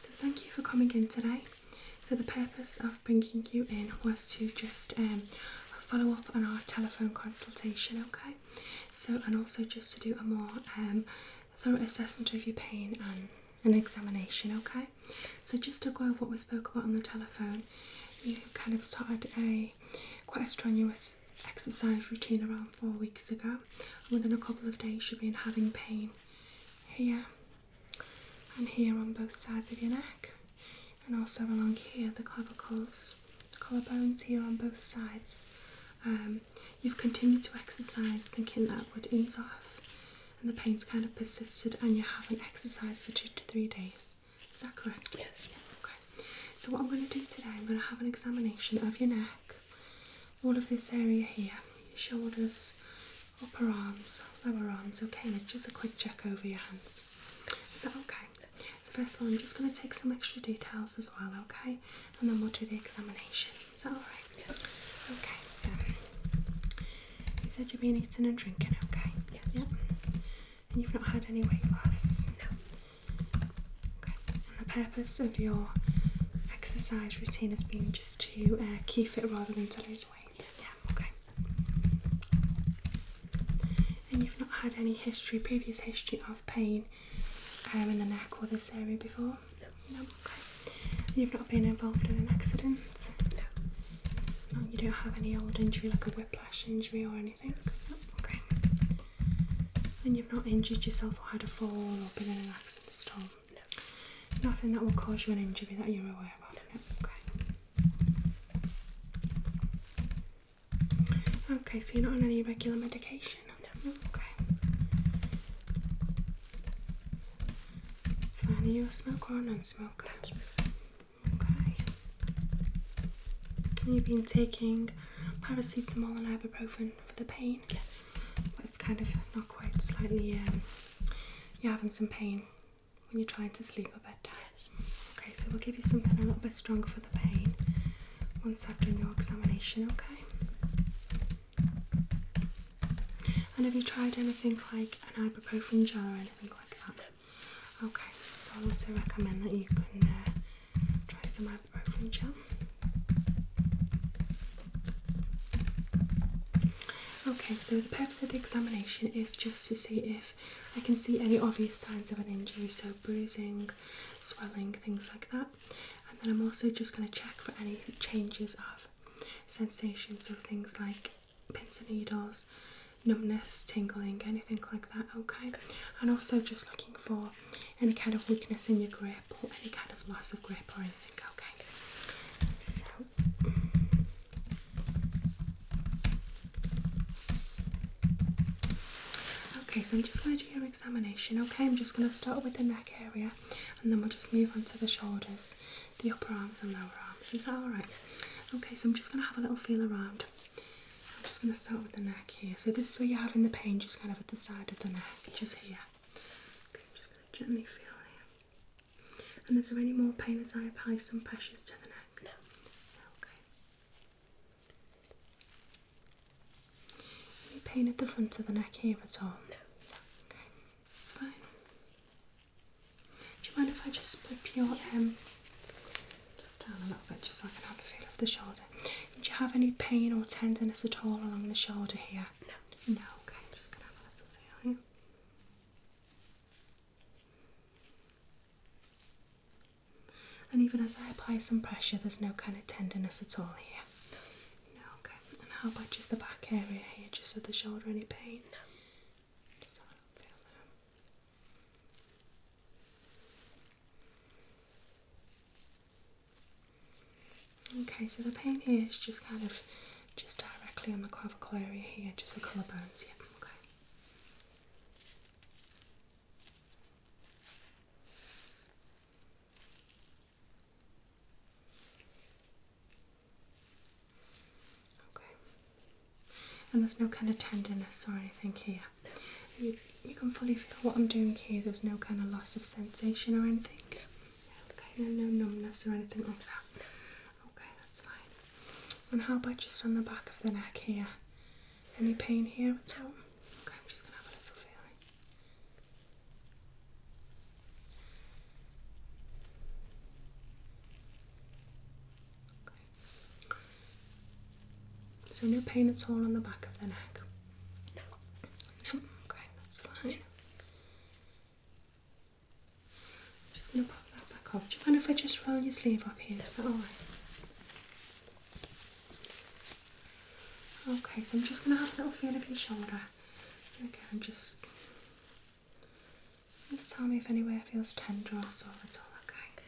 So thank you for coming in today. So the purpose of bringing you in was to just um, follow up on our telephone consultation, okay? So and also just to do a more um, thorough assessment of your pain and an examination, okay? So just to go over what we spoke about on the telephone, you kind of started a quite a strenuous exercise routine around four weeks ago. And within a couple of days, you've been having pain here and here on both sides of your neck, and also along here, the clavicles, the collarbones here on both sides. Um, you've continued to exercise thinking that would ease off, and the pain's kind of persisted, and you haven't exercised for two to three days. Is that correct? Yes. okay. So, what I'm going to do today, I'm going to have an examination of your neck all of this area here shoulders, upper arms, lower arms. Okay, and just a quick check over your hands. Is that okay? So, first of all, I'm just going to take some extra details as well, okay? And then we'll do the examination. Is that alright? Okay, so you said you've been eating and drinking, okay? Yeah. Yep. And you've not had any weight loss? No. Okay the purpose of your exercise routine has been just to uh, keep fit, rather than to lose weight. Yeah, okay. And you've not had any history, previous history of pain um, in the neck or this area before? No. No, okay. You've not been involved in an accident? No. no you don't have any old injury like a whiplash injury or anything? No. Okay. And you've not injured yourself or had a fall or been in an accident? No. Nothing that will cause you an injury that you're aware of? Okay. Okay, so you do not on any regular medication? No. Okay. It's fine. Are you a smoker or a non-smoker? smoker Okay. And you've been taking paracetamol and ibuprofen for the pain? Yes. But it's kind of not quite slightly um, you're having some pain when you're trying to sleep at bedtime. tired. Okay, so we'll give you something a little bit stronger for the pain once I've done your examination, okay? And have you tried anything like an ibuprofen gel or anything like that? Okay, so I also recommend that you can uh, try some eyebrow gel. Okay, so the purpose of the examination is just to see if I can see any obvious signs of an injury, so bruising, swelling, things like that. And then I'm also just going to check for any changes of sensation, so things like pins and needles, numbness, tingling, anything like that. Okay, and also just looking for any kind of weakness in your grip or any kind of loss of grip or anything, okay? So Okay, so I'm just going to do your examination, okay? I'm just going to start with the neck area and then we'll just move on to the shoulders, the upper arms and lower arms. Is that alright? Okay, so I'm just going to have a little feel around. I'm just going to start with the neck here. So this is where you're having the pain, just kind of at the side of the neck, just here. Okay, I'm just going to gently feel here. And is there any more pain as I apply some pressures to the neck? No. no okay. Any pain at the front of the neck here at all? No. Okay, it's fine. Do you mind if I just flip your um just down a little bit, just so I can have a feel of the shoulder do you have any pain or tenderness at all along the shoulder here? No. No, okay, I'm just gonna have a little feeling. And even as I apply some pressure, there's no kind of tenderness at all here. No, okay. And how about just the back area here, just at the shoulder? Any pain? No. Just a little feel there. Okay, so the pain here is just kind of just directly on the clavicle area here, just the collarbones, yeah, okay. Okay. And there's no kind of tenderness or anything here. You, you can fully feel what I'm doing here. There's no kind of loss of sensation or anything. Okay, no numbness or anything like that. Okay, that's fine. And how about just on the back of the neck here? Any pain here at all? Okay, I'm just gonna have a little feel. Okay, so no pain at all on the back of the neck. No. Okay, that's fine. I'm just gonna pop that back off. Do you mind if I just roll your sleeve up here? Is that alright? Okay, so I'm just gonna have a little feel of your shoulder. Okay, I'm just just tell me if anywhere feels tender or sore at all, okay?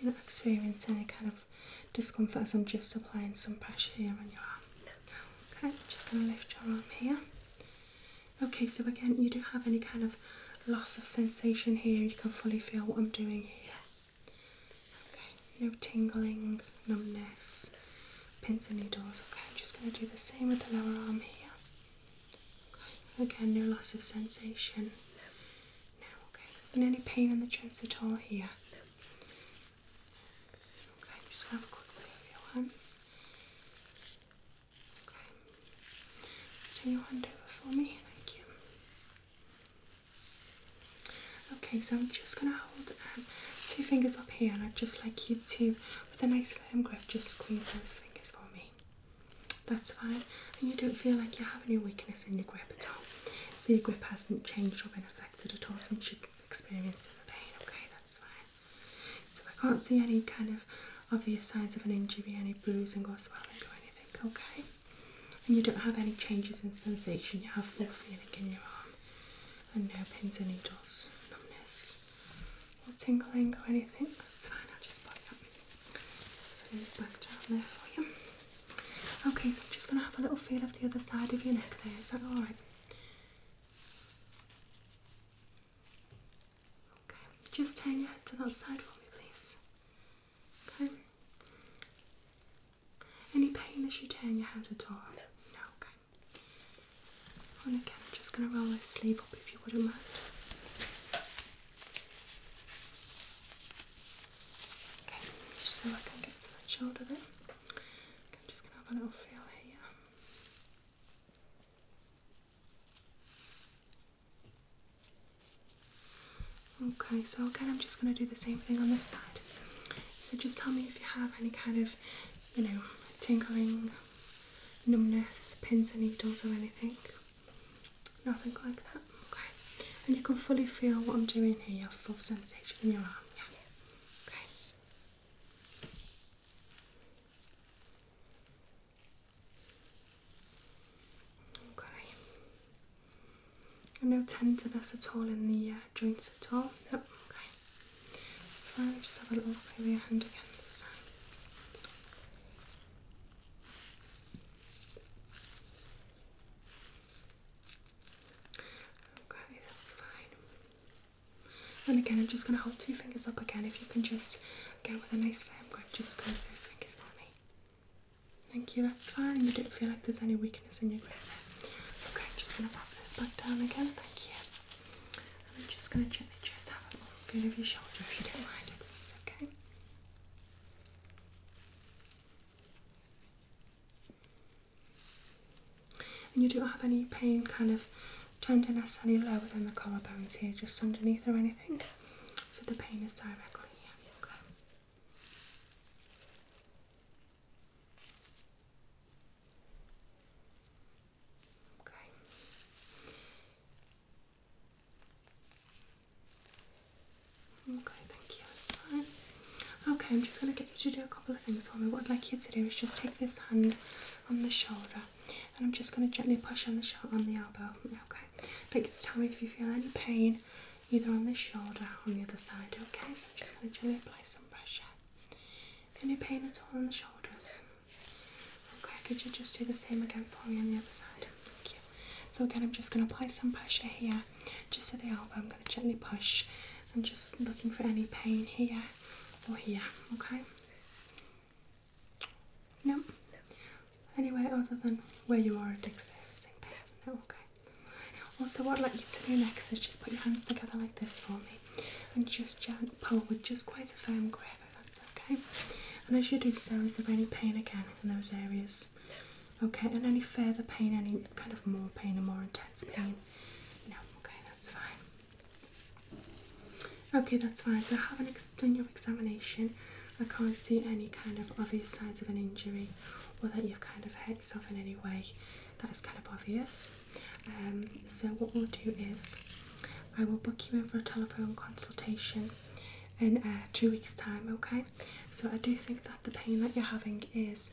You're not experiencing any kind of discomfort as I'm just applying some pressure here on your arm. No, no. Okay, just going to lift your arm here. Okay, so again, you don't have any kind of loss of sensation here. You can fully feel what I'm doing here. Okay, no tingling, numbness, pins and needles. Okay, I'm just going to do the same with the lower arm here. Okay, no loss of sensation. No, okay. any pain in the chest at all here? No. Okay, just have a quick look at your hands. Okay. Just turn for me, thank you. Okay, so I'm just gonna hold um, two fingers up here and I'd just like you to, with a nice firm grip, just squeeze those fingers for me. That's fine, and you don't feel like you have any weakness in your grip at all. So your grip hasn't changed or been affected at all since you experienced the pain. Okay, that's fine. So I can't see any kind of obvious signs of an injury, any bruising or swelling or anything. Okay, and you don't have any changes in sensation. You have no feeling in your arm, and no pins and needles, numbness, or tingling or anything. That's fine. I'll just put that. Okay, so I'm just going to have a little feel of the other side of your neck there. Is that alright? Okay, just turn your head to that side for me, please. Okay. Any pain as you turn your head to all? No. No, okay. And again, I'm just going to roll this sleeve up if you wouldn't mind. Okay, so I can get to that shoulder there. Okay, I'm just going to have a little feel here. Okay, so again, I'm just going to do the same thing on this side. So just tell me if you have any kind of, you know, tingling, numbness, pins and needles or anything. Nothing like that. Okay. And you can fully feel what I'm doing here. You have full sensation in your arm. Yeah. Okay. Okay. no tenderness at all in the uh, joints at all. No. Okay. So let just have a little look over your hand again this time. Okay, that's fine. And again, I'm just going to hold two fingers up again. If you can just go with a nice firm grip, just squeeze those fingers for me. Thank you, that's fine. You don't feel like there's any weakness in your grip. Okay, I'm just going to wrap this back down again. Thank you. I'm just going to gently just have a little bit of your shoulder if you don't mind, please, okay? And you don't have any pain kind of tenderness any lower than the collarbones here, just underneath or anything. So the pain is directly here, okay? Okay. Okay, thank you. That's Okay, I'm just going to get you to do a couple of things for me. What I'd like you to do is just take this hand on the shoulder, and I'm just going to gently push on the shoulder, on the elbow. Okay. But just tell me if you feel any pain, either on this shoulder or on the other side. Okay. So I'm just going to gently apply some pressure. Any pain at all on the shoulders? Okay, could you just do the same again for me on the other side? Thank you. So again, I'm just going to apply some pressure here, just to the elbow. I'm going to gently push. I'm just looking for any pain here or here. Okay. No. Nope. Anywhere other than where you are experiencing pain. No. Okay. Also, what I'd like you to do next is just put your hands together like this for me, and just gently pull with just quite a firm grip that's okay. And as you do so, is there any pain again in those areas? Okay, and any further pain, any kind of more pain or more intense pain? No, okay, that's fine. Okay, that's fine. So, having done your examination, I can't see any kind of obvious signs of an injury or that you've kind of hurt yourself in any way. That is kind of obvious. Um, so, what we'll do is I will book you in for a telephone consultation in uh, two weeks' time, okay? So, I do think that the pain that you're having is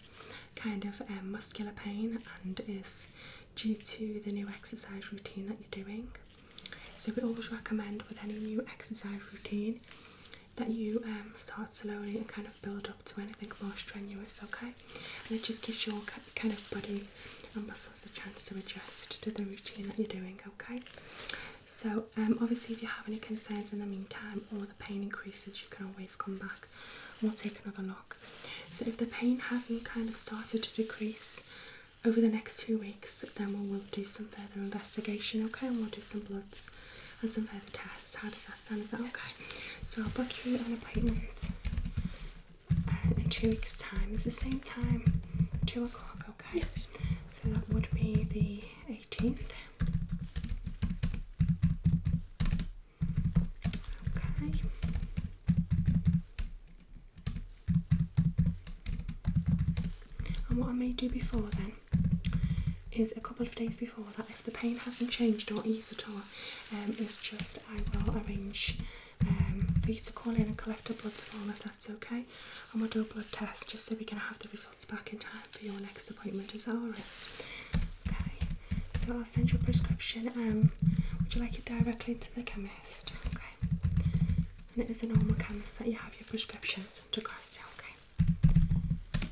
kind of um, muscular pain and is due to the new exercise routine that you're doing. So, we always recommend with any new exercise routine that you um, start slowly and kind of build up to anything more strenuous, okay? And it just gives your kind of body and muscles a chance to adjust to the routine that you're doing, okay? So, um, obviously, if you have any concerns in the meantime or the pain increases, you can always come back and we'll take another look. So, if the pain hasn't kind of started to decrease over the next two weeks, then we will do some further investigation, okay? And we'll do some bloods and some further tests. How does that sound? as well? okay? So, I'll book you an appointment in two weeks' time. It's the same time, two o'clock, okay? So that would be the 18th. Okay. And what I may do before then is a couple of days before that, if the pain hasn't changed or eased at all, um, is just I will arrange um, for you to call in and collect a blood tomorrow if that's okay. I'm gonna do a blood test just so we can have the results back in time for your next appointment. as that alright? Okay. So I'll send your prescription. Um, would you like it directly to the chemist? Okay. And it is a normal chemist that you have your prescriptions to across to. Okay.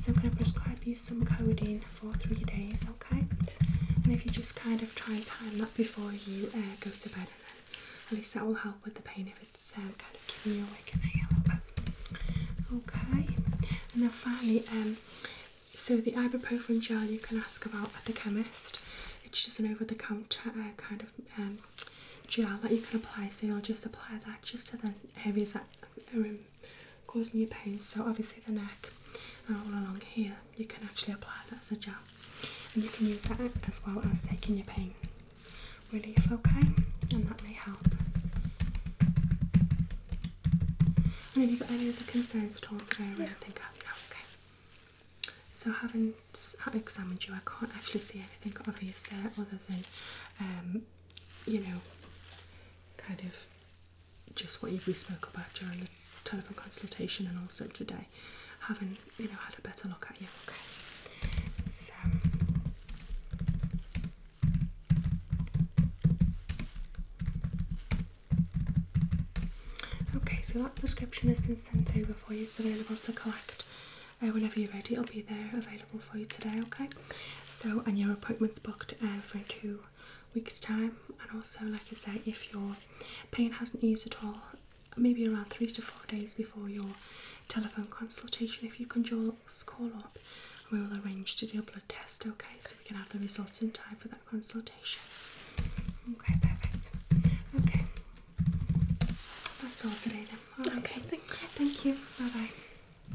So I'm going to prescribe you some codeine for three days, okay? And if you just kind of try and time that before you uh, go to bed, and then at least that will help with the pain if it's uh, kind of keeping you awake at night a little Okay, and then finally, um, so the ibuprofen gel you can ask about at the chemist. It's just an over-the-counter uh, kind of um, gel that you can apply. So you'll just apply that just to the areas that are in causing you pain. So obviously the neck and uh, all along here, you can actually apply that as a gel, and you can use that as well as taking your pain relief. Okay, and that may help. And if you've got any other concerns at all today, I really okay. So, having examined you, I can't actually see anything obvious there other than, um, you know, kind of just what we spoke about during the telephone consultation and also today, having you know had a better look at you. Okay, so. Okay, so that prescription has been sent over for you. It's available to collect uh, whenever you're ready. It'll be there available for you today, okay? So, and your appointment's booked uh, for two weeks' time. And also, like I say, if your pain hasn't eased at all, maybe around three to four days before your telephone consultation, if you can just call up, we will arrange to do a blood test, okay? So we can have the results in time for that consultation. Okay, perfect. Okay, that's all today then. Okay, thank you. Thank you. Bye bye.